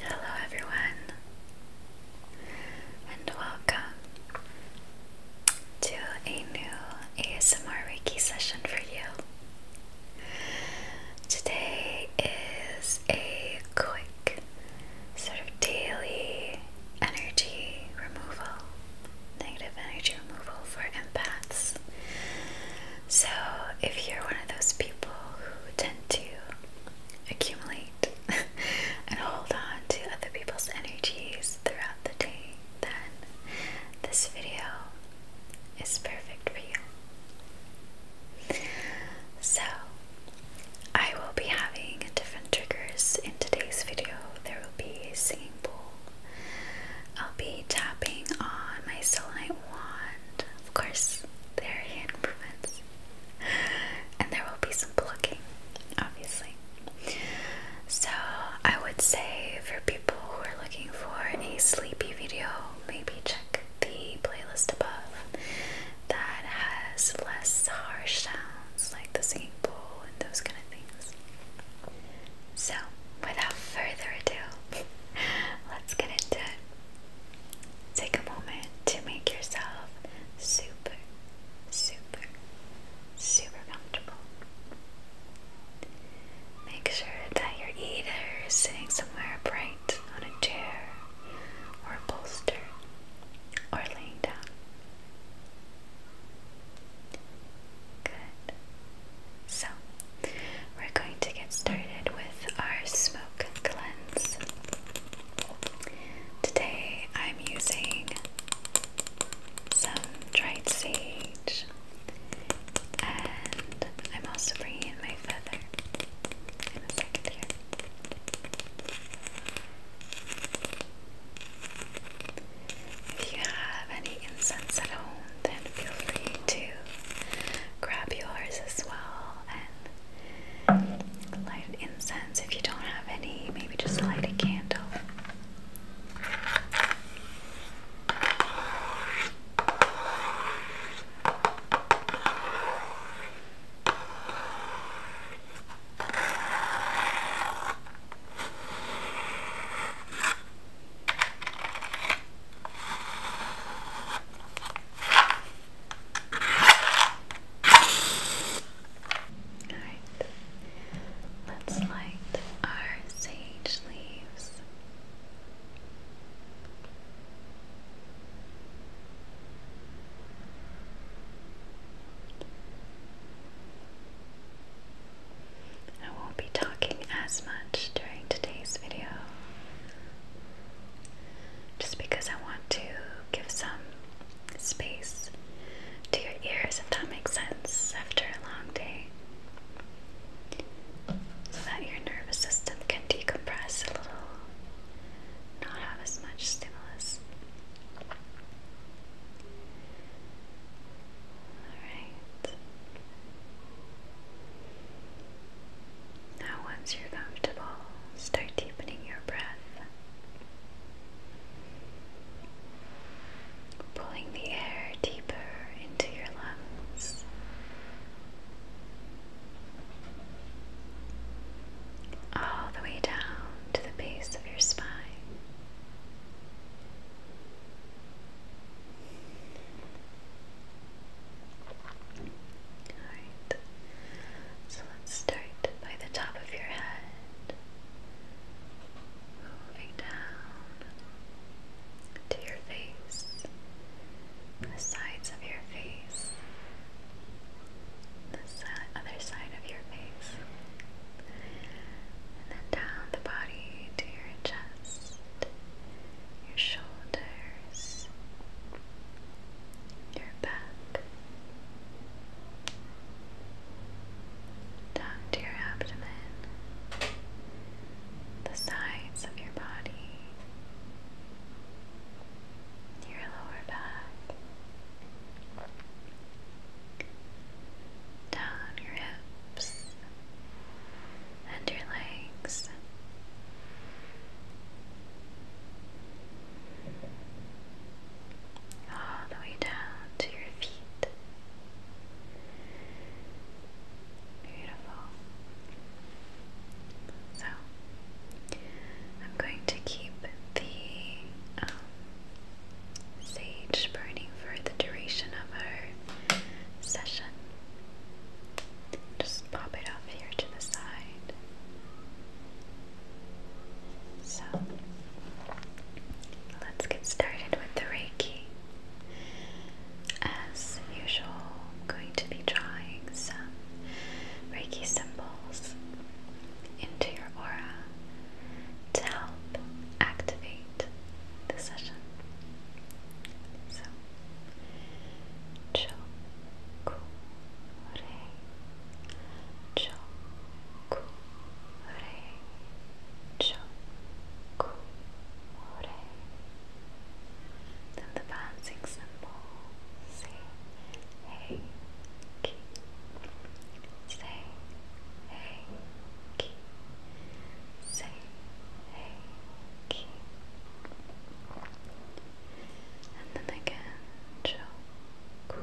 Hello, everyone, and welcome to a new ASMR Reiki session for you. Today is a quick, sort of daily energy removal, negative energy removal for empaths. So, if you're one of those people who tend to accumulate and hold on to other people's energies throughout the day, then this video is perfect for you. So, I will be having different triggers in today's video. There will be a singing bowl. I'll be tapping on my selenite of course, there are hand And there will be some plucking, obviously. So, I would say for people who are looking for a sleepy video, maybe check the playlist above that has less harsh sounds like the singing bowl and those kind of things. So, without further ado, let's get into it. Take a moment to make yourself super, super, super comfortable. Make sure that you're either sitting somewhere bright on a chair or bolster or laying down. Good. So, we're going to get started with our smoke cleanse. Today I'm using some dried sage and I'm also bringing in my feather in a second here. If you have any incense at home, then feel free to grab yours as well and light incense if you don't have any. Maybe just light a candle. Alright, let's light our sage leaves. I won't be talking as much during today's video just because I want to give some space to your ears, if that makes sense, after a long day, so that your nervous system can decompress a little, not have as much stimulus. Alright. Now, once you're comfortable, start deepening your breath, pulling the air deeper into your lungs. All the way down to the base of your spine so let's start by the top of your head, moving down to your face, the sides of your face, the other side of your face, and then down the body to your chest your shoulders, your back, down to your abdomen, the sides of your body, your lower back, down your hips and your legs. All the way down to your feet. Beautiful. So, I'm going to keep the um, sage burning for the duration of our session. Just pop it off here to the side. So let's get started with the Reiki. As usual, I'm going to be drawing some Reiki symbols into your aura to help activate the session. So Chokure, chokure, chokure. Then the bouncing symbol. Say, hey, key. Say, hey, key. Say, Okay. And then again, chokurei,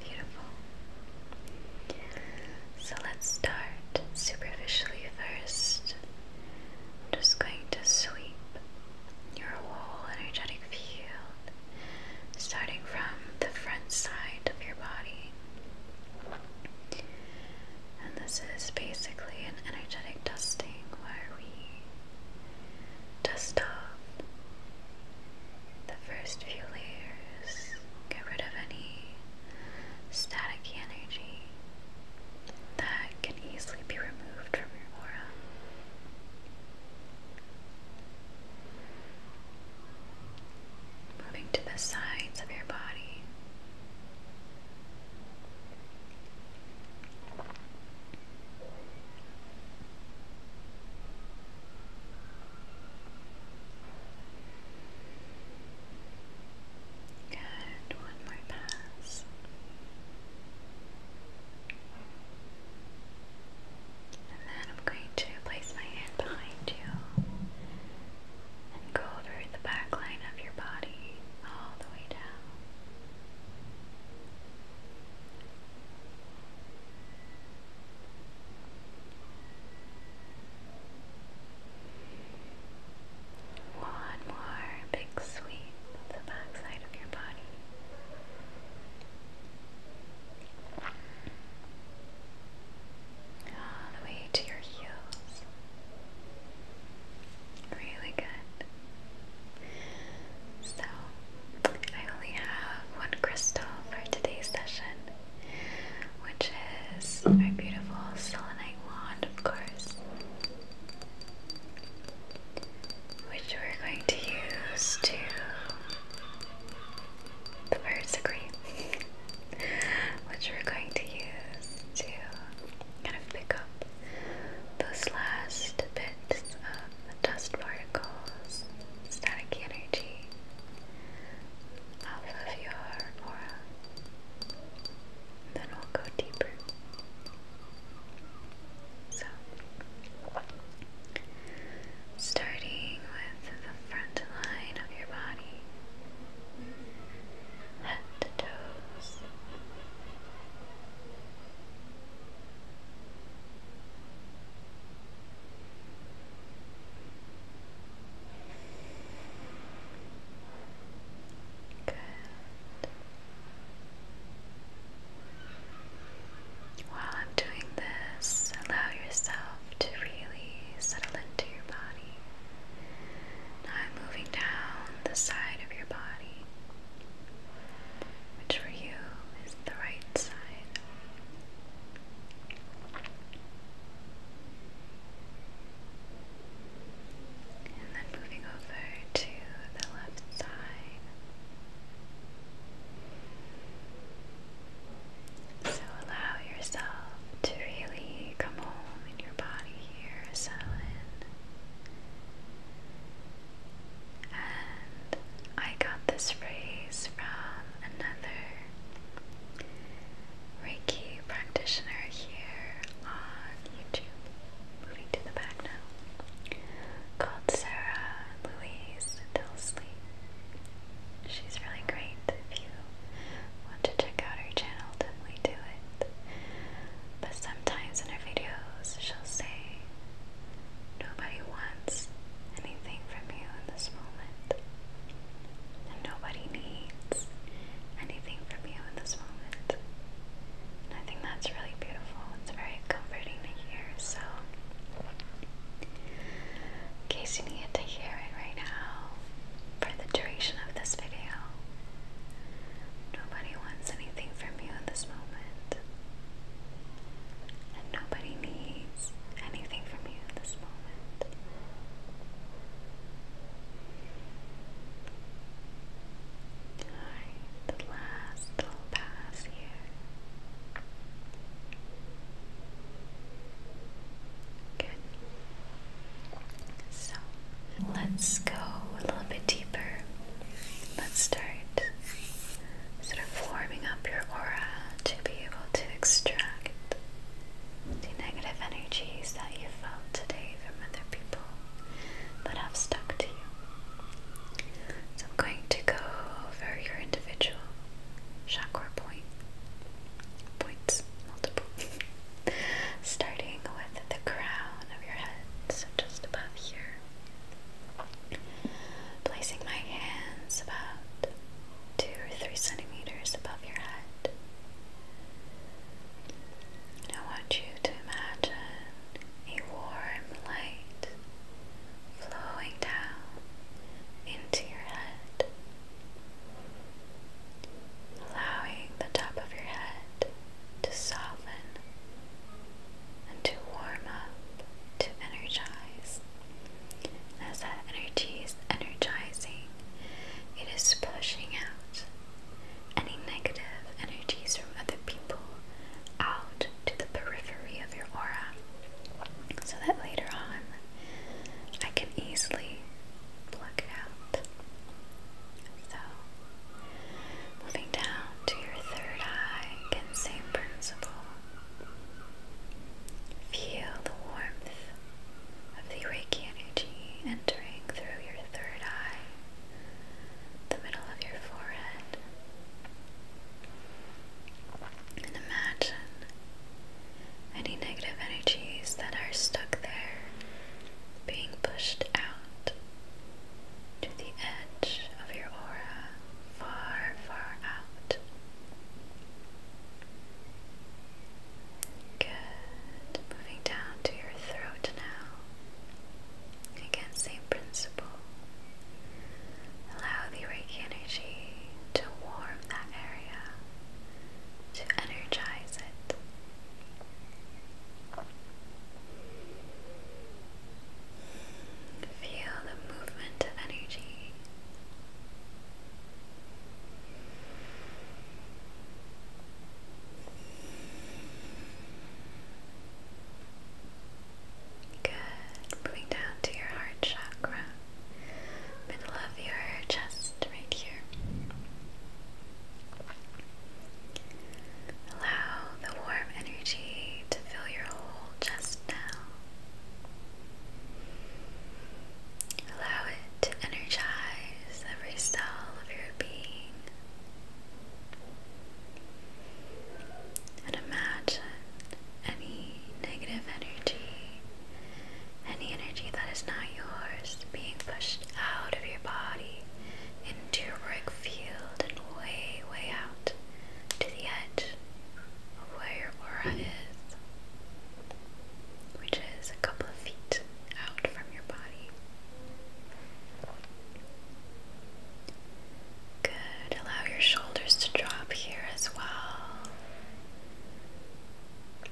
Beautiful. So let's start superficially first. I'm just going to sweep your whole energetic field, starting from the front side of your body. And this is basically an energetic dusting where we dust off the first few layers, get rid of any static energy that can easily be removed from your aura. Moving to the sides of your body. Good, one more pass. And then I'm going to place my hand behind you and go over the back line of your body all the way down. One more big sweep of the backside all the way to your heels. Really good. So, I only have one crystal for today's session, which is my beautiful selenite wand, of course which we're going to use to the birds agree, which we're going to use to kind of pick up those last bits of dust particles, static energy off of your aura. And then we'll go deeper. So, starting with the front line of your body, head to toes. Good. While I'm doing this, allow yourself to really settle into your body. Now I'm moving down the side of your body, which for you is the right side. And then moving over to the left side. So allow yourself to really come home in your body here, settle in. And I got this phrase from another Reiki practitioner here on uh, YouTube, moving to the back now, called Sarah Louise Tilsley. She's really great. If you want to check out her channel, definitely do it. But sometimes in her videos, she'll say, Nobody wants anything from you in this moment. And nobody needs anything from you in this moment. I think that's really beautiful. It's very comforting to hear. So, in you needed to hear it right now, for the duration of this video, nobody wants anything from you in this moment. And nobody needs anything from you in this moment the last little pass Good. So let's go a little bit deeper. Let's start sort of warming up your aura to be able to extract the negative energies that you felt today from other people that have stuck to you. So I'm going to go over your individual chakra point points, multiple. Starting with the crown of your head, so just above here. Placing my hands about two or three centimeters above your head. I want you to imagine a warm light flowing down into your head, allowing the top of your head to soften and to warm up, to energize. As that energy is energizing, it is pushing out any negative energies from other people out to the periphery of your aura so that later on I can easily pluck it out. So, moving down to your third eye, again, same principle. Feel the warmth of the radiant energy entering through your third eye the middle of your forehead. And imagine any negative energies that are stuck there being pushed out to the edge of your aura, far, far out. Good. Moving down to your throat now. Again, same principle. Allow the Reiki energy to warm that area, to energize it. Feel the movement of energy. Good. Moving down to your heart chakra, middle of your chest, right here. Allow the warm energy to fill your whole chest now. Allow it to energize every cell of your being, and imagine any negative energy, any energy that is not yours, being pushed out of your body into your work field and way, way out to the edge of where your aura is, which is a couple of feet out from your body. Good. Allow your shoulders to drop here as well.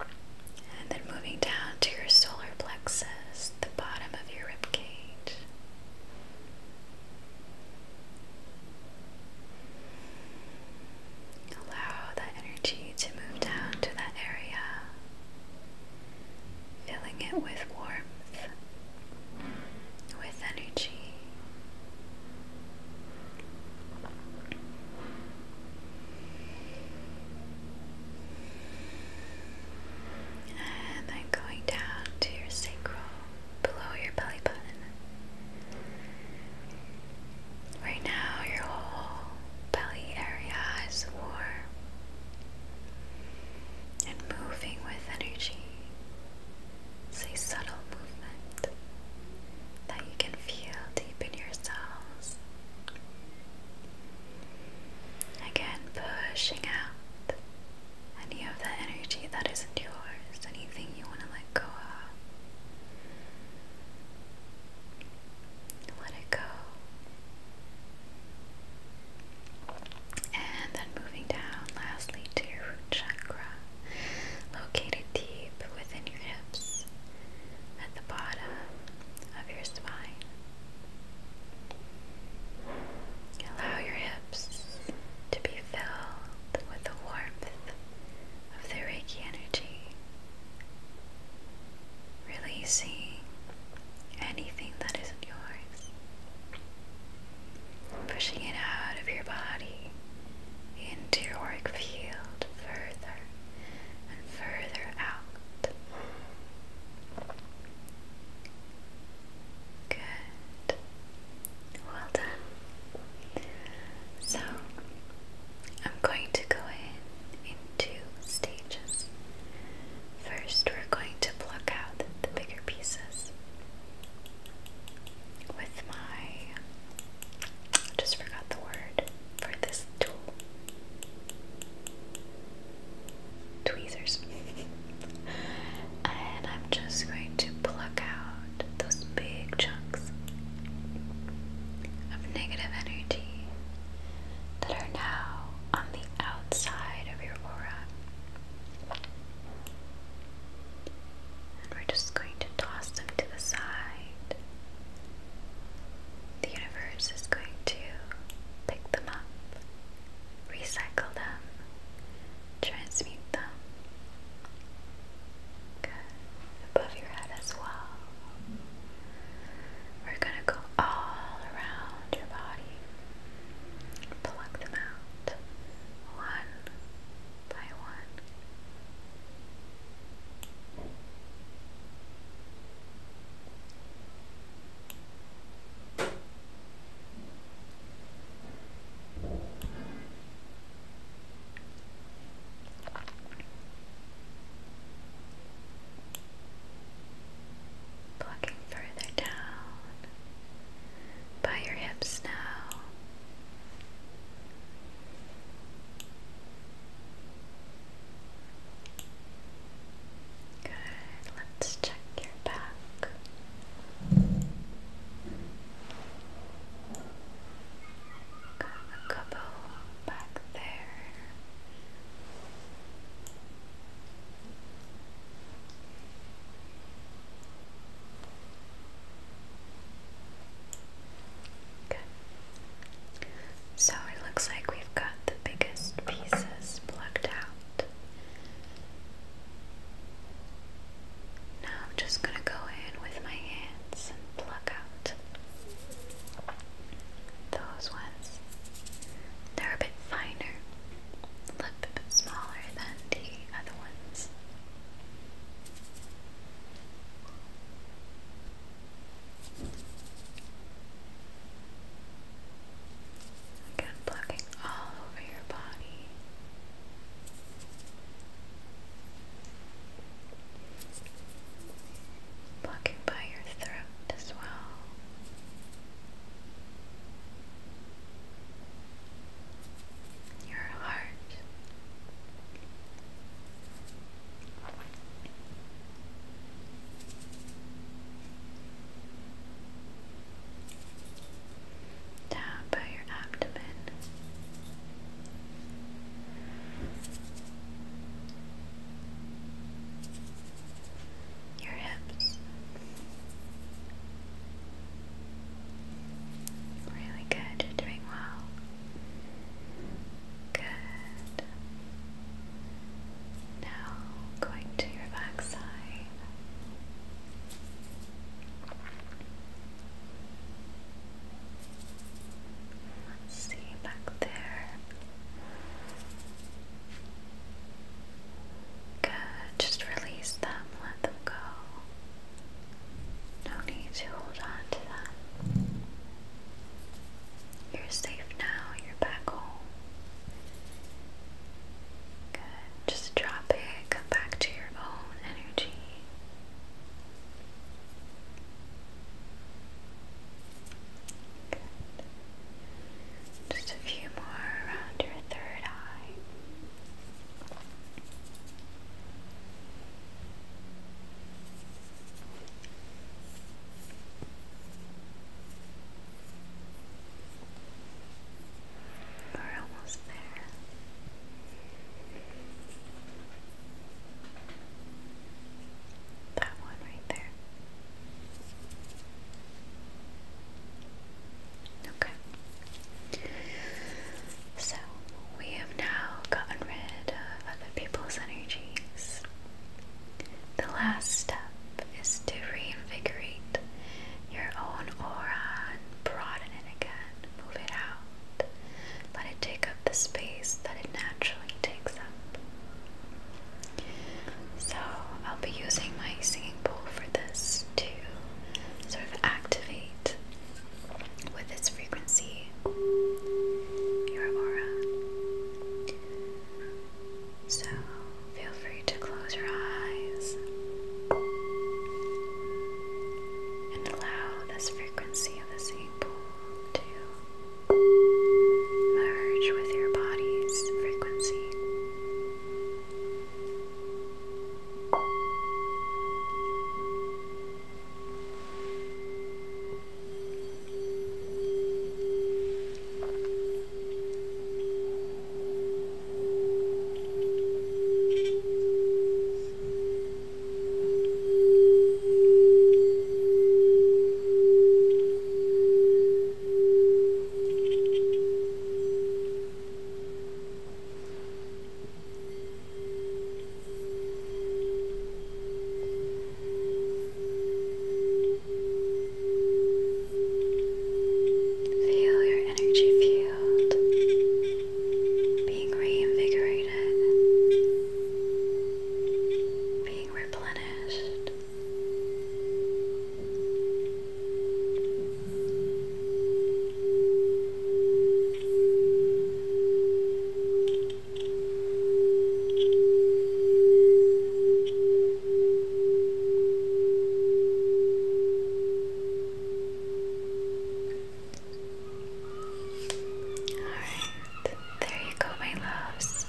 And then moving down to your solar plexus, the bottom of your ribcage. Allow that energy to move down to that area filling it with warmth, with energy. And then going down to your sacral, below your belly button. Right now, your whole belly area is warm and moving with energy. It's a subtle movement that you can feel deep in your cells. Again, pushing out any of the energy that isn't yours, anything you want to let go of let it go. And then moving down, lastly, to your root chakra, located deep within your hips at the bottom of your spine. Allow your hips to be filled with the warmth of the energy releasing anything that isn't yours, pushing it out of your body into your work field further and further out. Good. Well done. So, I'm going to go in two stages. First, we're going to pluck out the bigger pieces with my. just forgot the word for this tool. Tweezers. and I'm just going to pluck out those big chunks of negative energy that are now on the outside of your aura. And we're just going to toss them to the side. The universe is going to pick them up, recycle them, transmute them. Good. Above your head as well. We're going to go all around your body. Pluck them out one by one. Plucking further down by your hips now. Good, let's check your back. a couple back there. So it looks like we've got the biggest pieces plucked out. Now I'm just going to go in with my hands and pluck out those ones. They're a bit finer, a smaller than the other ones. Again, plucking all over your body. Plucking by your throat as well. Your heart. Down by your abdomen your hips. Really good, you're doing well. Good. Now going to your back side. Let's see back there. Good, just release them, let them go. No need to hold on to them. You're safe now, you're back home. Good, just drop it, come back to your own energy. Just a few more around your third eye. We're almost there. That one right there. Okay. So we have now gotten rid of other people's energies. The last step is to reinvigorate your own aura and broaden it again, move it out, let it take up the space that it naturally takes up. So I'll be using my singing bowl for this to sort of activate with its frequency your aura. So feel free to close your eyes and allow this frequency of the singing bowl to merge with your body's frequency. Feel your energy field being reinvigorated replenished. All right, there you go, my loves.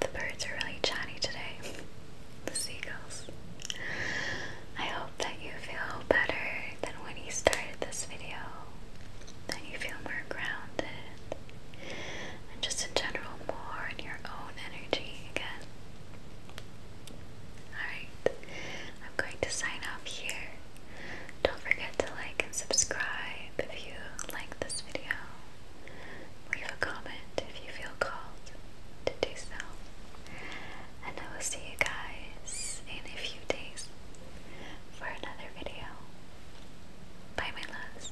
The birds are really chatty today. The seagulls. I hope that you feel better than when you started this video. That you feel more grounded. And just in general, more in your own energy again. Alright, I'm going to sign off here. Don't forget to like and subscribe if you like this video. Leave a comment if you feel called to do so. And I will see you guys in a few days for another video. Bye, my loves.